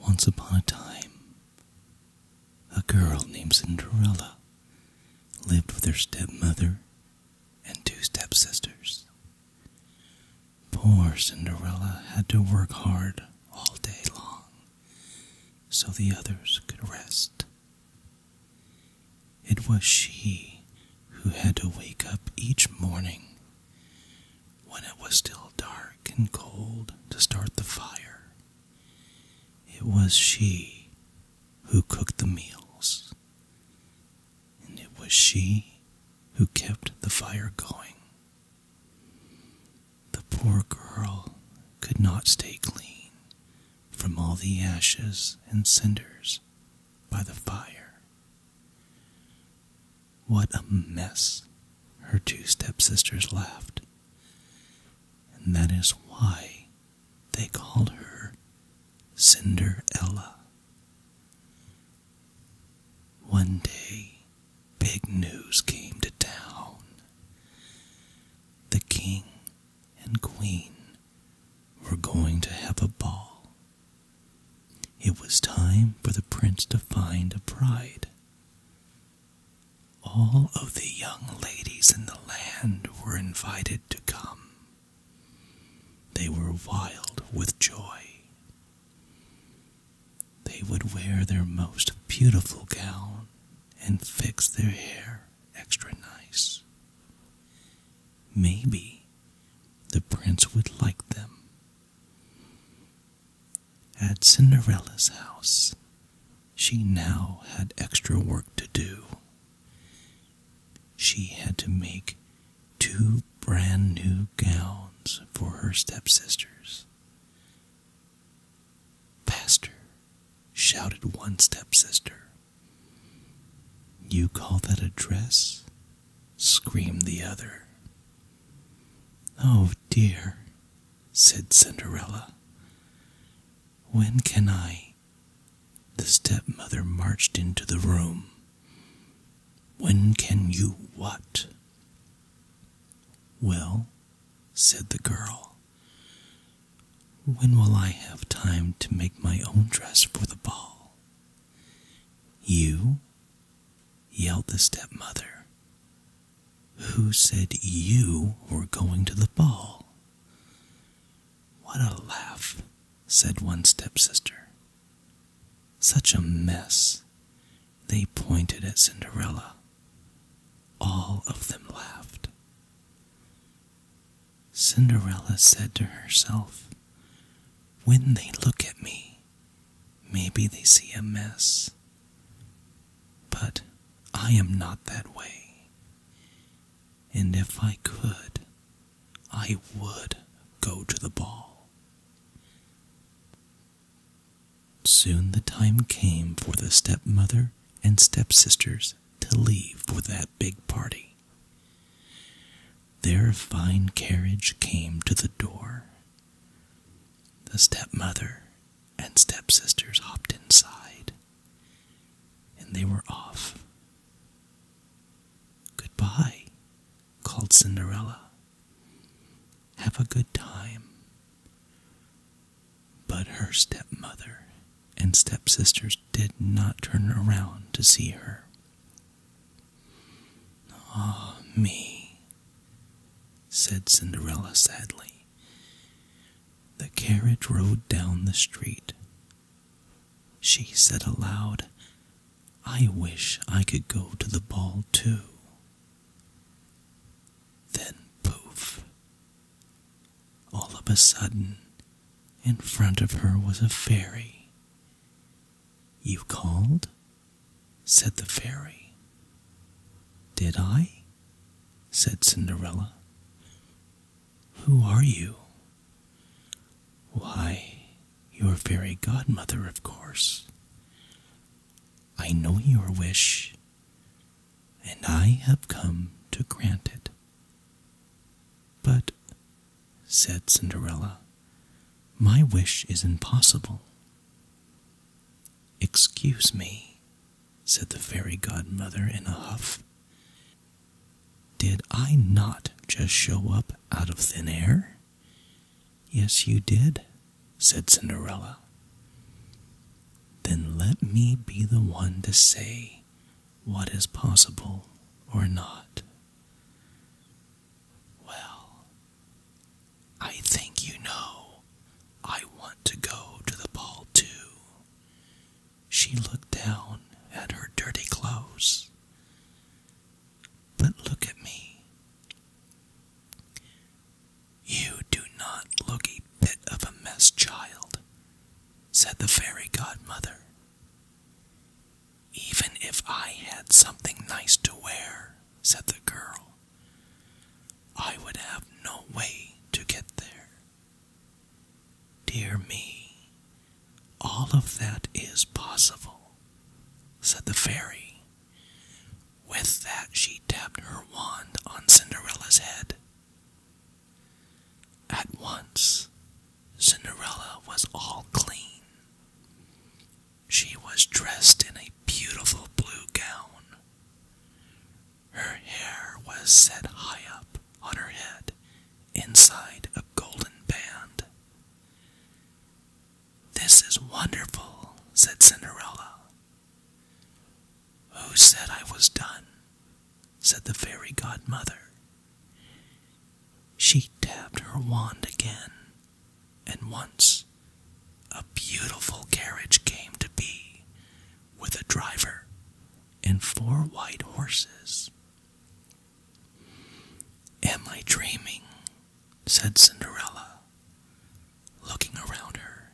Once upon a time, a girl named Cinderella lived with her stepmother and two stepsisters. Poor Cinderella had to work hard all day long so the others could rest. It was she who had to wake up each morning when it was still dark and cold to start the fire. It was she who cooked the meals, and it was she who kept the fire going. The poor girl could not stay clean from all the ashes and cinders by the fire. What a mess, her two stepsisters laughed. And that is why they called her Cinderella. One day, big news came to town. The king and queen were going to have a ball it was time for the prince to find a bride. All of the young ladies in the land were invited to come. They were wild with joy. They would wear their most beautiful gown and fix their hair extra nice. Maybe the prince would like them at Cinderella's house, she now had extra work to do. She had to make two brand new gowns for her stepsisters. Faster! shouted one stepsister, you call that a dress? screamed the other. Oh dear, said Cinderella. When can I? The stepmother marched into the room. When can you what? Well, said the girl, when will I have time to make my own dress for the ball? You? yelled the stepmother. Who said you were going to the ball? What a laugh, said one stepsister. Such a mess. They pointed at Cinderella. All of them laughed. Cinderella said to herself, When they look at me, maybe they see a mess. But I am not that way. And if I could, I would go to the ball. Soon the time came for the stepmother and stepsisters to leave for that big party way. Their fine carriage came to the door. The stepmother and stepsisters hopped inside, and they were off. Goodbye, called Cinderella. Have a good time. But her stepmother and stepsisters did not turn around to see her. Ah, me, said Cinderella sadly. The carriage rode down the street. She said aloud, I wish I could go to the ball too. Then poof! All of a sudden, in front of her was a fairy you called? said the fairy. Did I? said Cinderella. Who are you? Why, your fairy godmother, of course. I know your wish, and I have come to grant it. But, said Cinderella, my wish is impossible. Excuse me, said the fairy godmother in a huff. Did I not just show up out of thin air? Yes, you did, said Cinderella. Then let me be the one to say what is possible or not? Well, I think you know I want to go to the ball too. She looked down at her dirty clothes. But look at me. You do not look a bit of a mess, child, said the fairy godmother. Even if I had something nice to wear, said the girl, I would have no way to get there. Dear me, all of that is possible, said the fairy. With that, she tapped her wand on Cinderella's head. At once, Cinderella was all clean. She was dressed in a beautiful blue gown. Her hair was set high up on her head inside a golden band. This is wonderful, said Cinderella. Who said I was done? said the fairy godmother. She tapped her wand again, and once a beautiful carriage came to be with a driver and four white horses. Am I dreaming? said Cinderella, looking around her.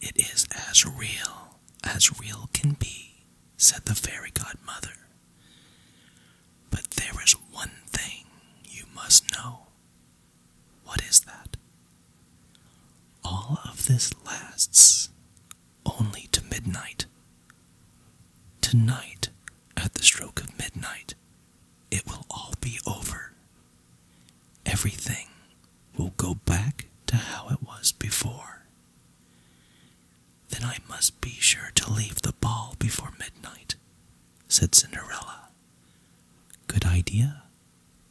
It is as real as real can be, said the fairy godmother. But there is one thing you must know. What is that? All of this lasts only to midnight. Tonight, at the stroke of midnight, it will all be over. Everything will go back to how it was before. Then I must be sure to leave the ball before midnight, said Cinderella. Good idea,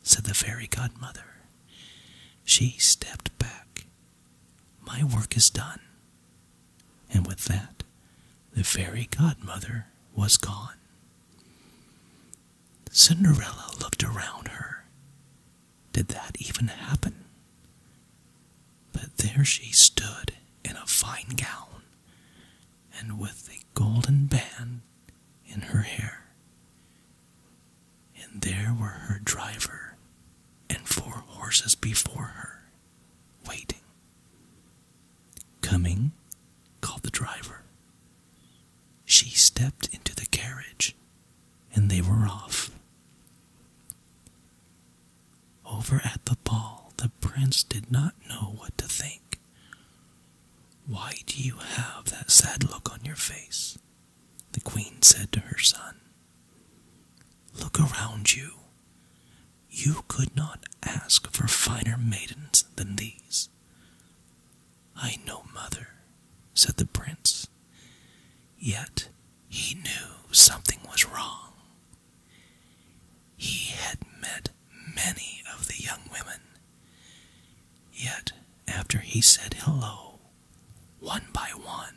said the fairy godmother. She stepped back. My work is done. And with that, the fairy godmother was gone. Cinderella looked around her did that even happen? But there she stood in a fine gown, and with a golden band in her hair. And there were her driver and four horses before her, waiting. Coming, called the driver. She stepped into the carriage, and they were off. Over at the ball, the prince did not know what to think. Why do you have that sad look on your face? The queen said to her son. Look around you. You could not ask for finer maidens than these. I know, mother, said the prince. Yet he knew something was wrong. He had met many of the young women. Yet, after he said hello, one by one,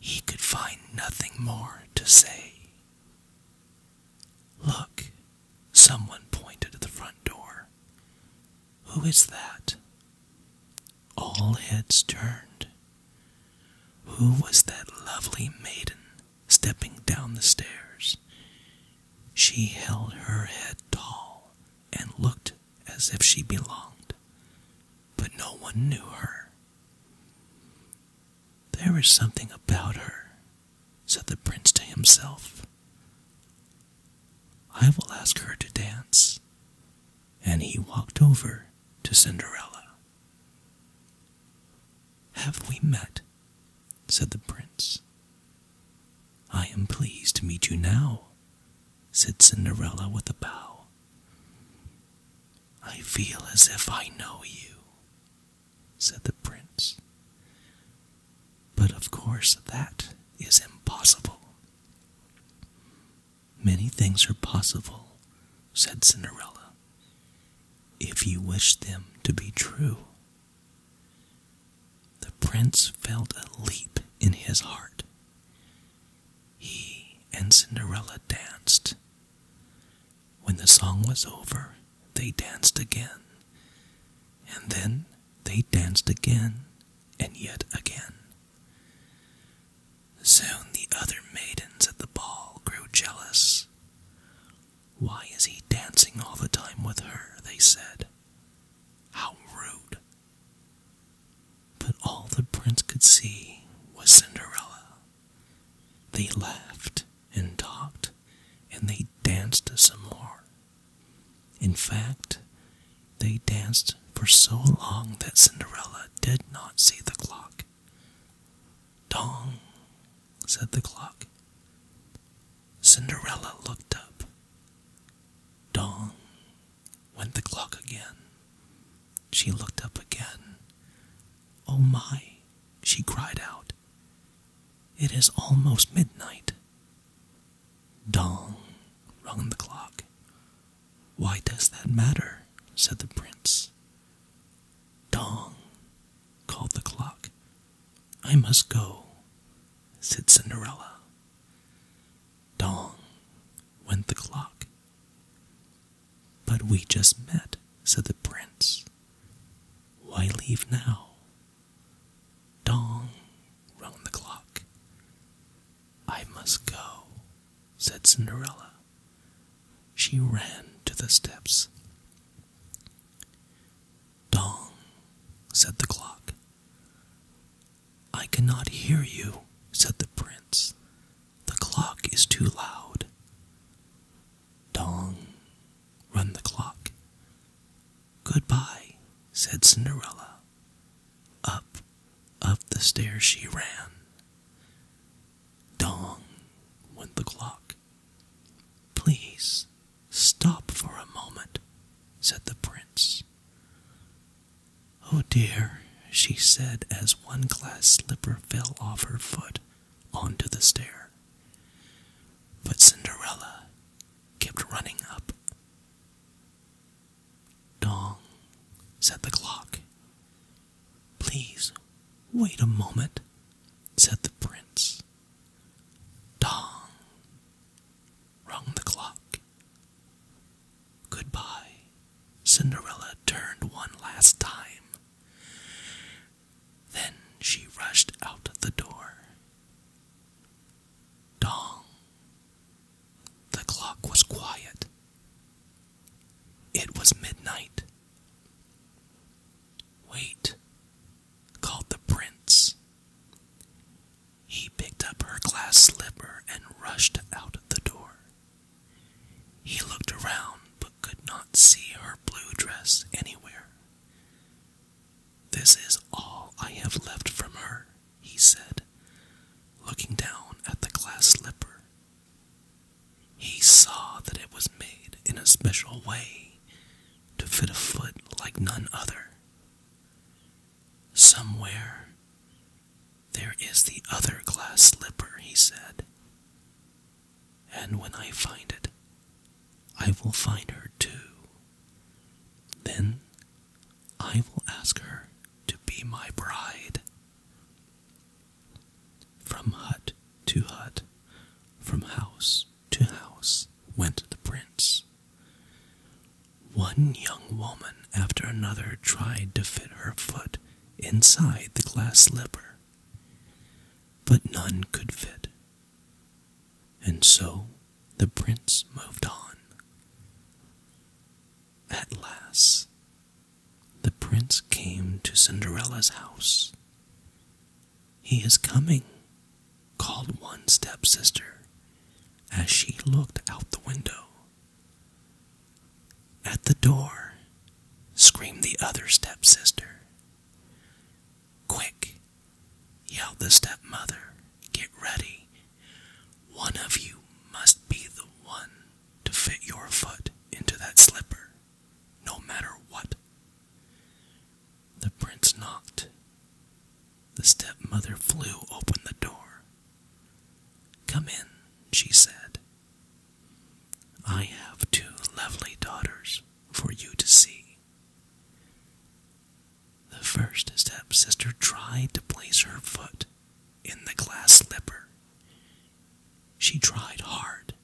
he could find nothing more to say. Look, someone pointed to the front door. Who is that? All heads turned. Who was that lovely maiden stepping down the stairs? She held her head tall and looked as if she belonged, but no one knew her. There is something about her, said the prince to himself. I will ask her to dance. And he walked over to Cinderella. Have we met? said the prince. I am pleased to meet you now, said Cinderella with a bow. I feel as if I know you, said the prince. But of course, that is impossible. Many things are possible, said Cinderella, if you wish them to be true. The prince felt a leap in his heart. He and Cinderella danced. When the song was over, they danced again, and then they danced again and yet again. Soon the other maidens at the ball grew jealous. Why is he dancing all the time with her? they said. How rude. But all the prince could see was Cinderella. They laughed and talked, and they danced some more. In fact, they danced for so long that Cinderella did not see the clock. Dong, said the clock. Cinderella looked up. Dong went the clock again. She looked up again. Oh my, she cried out. It is almost midnight. Dong, rung the clock. Why does that matter? said the prince. Dong, called the clock. I must go, said Cinderella. Dong, went the clock. But we just met, said the prince. Why leave now? Dong, round the clock. I must go, said Cinderella. She ran to the steps. Dong, said the clock. I cannot hear you, said the prince. The clock is too loud. Dong, run the clock. Goodbye, said Cinderella. Up, up the stairs she ran. Dong, went the clock. Please stop for a moment, said the prince. Oh dear, she said as one glass slipper fell off her foot onto the stair. But Cinderella kept running up. Dong, said the clock. Please wait a moment, said the prince. Dong, rung the clock. Goodbye. Cinderella turned one last time. Then she rushed out the door. Dong. The clock was quiet. It was midnight. Wait, called the prince. He picked up her glass slipper and rushed out the door. He looked around but could not see her blue dress anywhere. This is all I have left from her, he said, looking down at the glass slipper. He saw that it was made in a special way to fit a foot like none other. Somewhere there is the other glass slipper, he said and when I find it, I will find her too. Then I will ask her to be my bride. From hut to hut, from house to house, went the prince. One young woman after another tried to fit her foot inside the glass slipper, but none could fit and so the prince moved on. At last, the prince came to Cinderella's house. He is coming, called one stepsister as she looked out the window. At the door, screamed the other stepsister. Quick, yelled the stepmother, get ready. One of you must be the one to fit your foot into that slipper, no matter what. The prince knocked. The stepmother flew open the door. Come in, she said, I have two lovely daughters for you to see. The first step sister tried to place her foot in the glass slipper. She tried hard,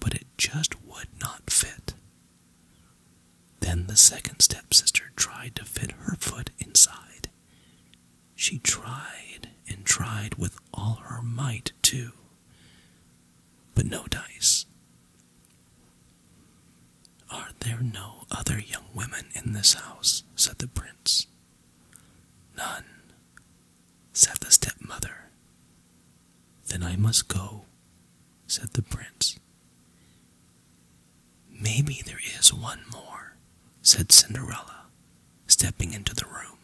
but it just would not fit. Then the second step sister tried to fit her foot inside. She tried and tried with all her might, too, but no dice. Are there no other young women in this house? said the prince. None, said the stepmother. Then I must go, said the prince. Maybe there is one more, said Cinderella, stepping into the room.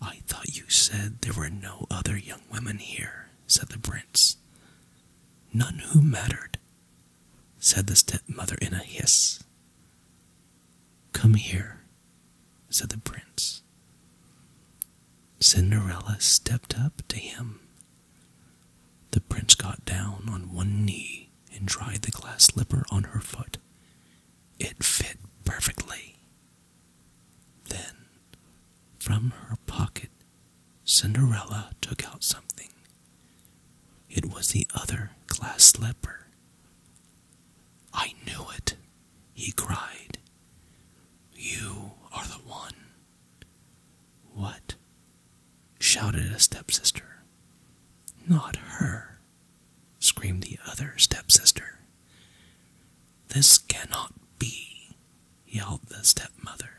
I thought you said there were no other young women here, said the prince. None who mattered, said the stepmother in a hiss. Come here, said the prince. Cinderella stepped up to him. The prince got down on one knee and tried the glass slipper on her foot it fit perfectly. Then, from her pocket, Cinderella took out something. It was the other glass slipper. I knew it, he cried. You are the one. What? shouted a stepsister. Not her, screamed the other stepsister. This cannot be, yelled the stepmother.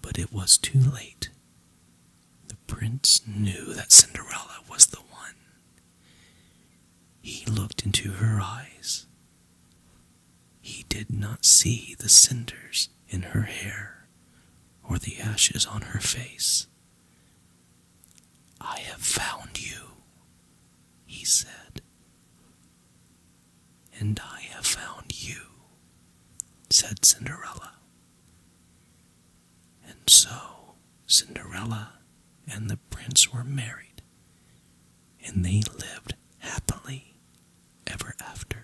But it was too late. The prince knew that Cinderella was the one. He looked into her eyes. He did not see the cinders in her hair or the ashes on her face. I have found you, he said, and I have found you, said Cinderella. And so Cinderella and the prince were married, and they lived happily ever after.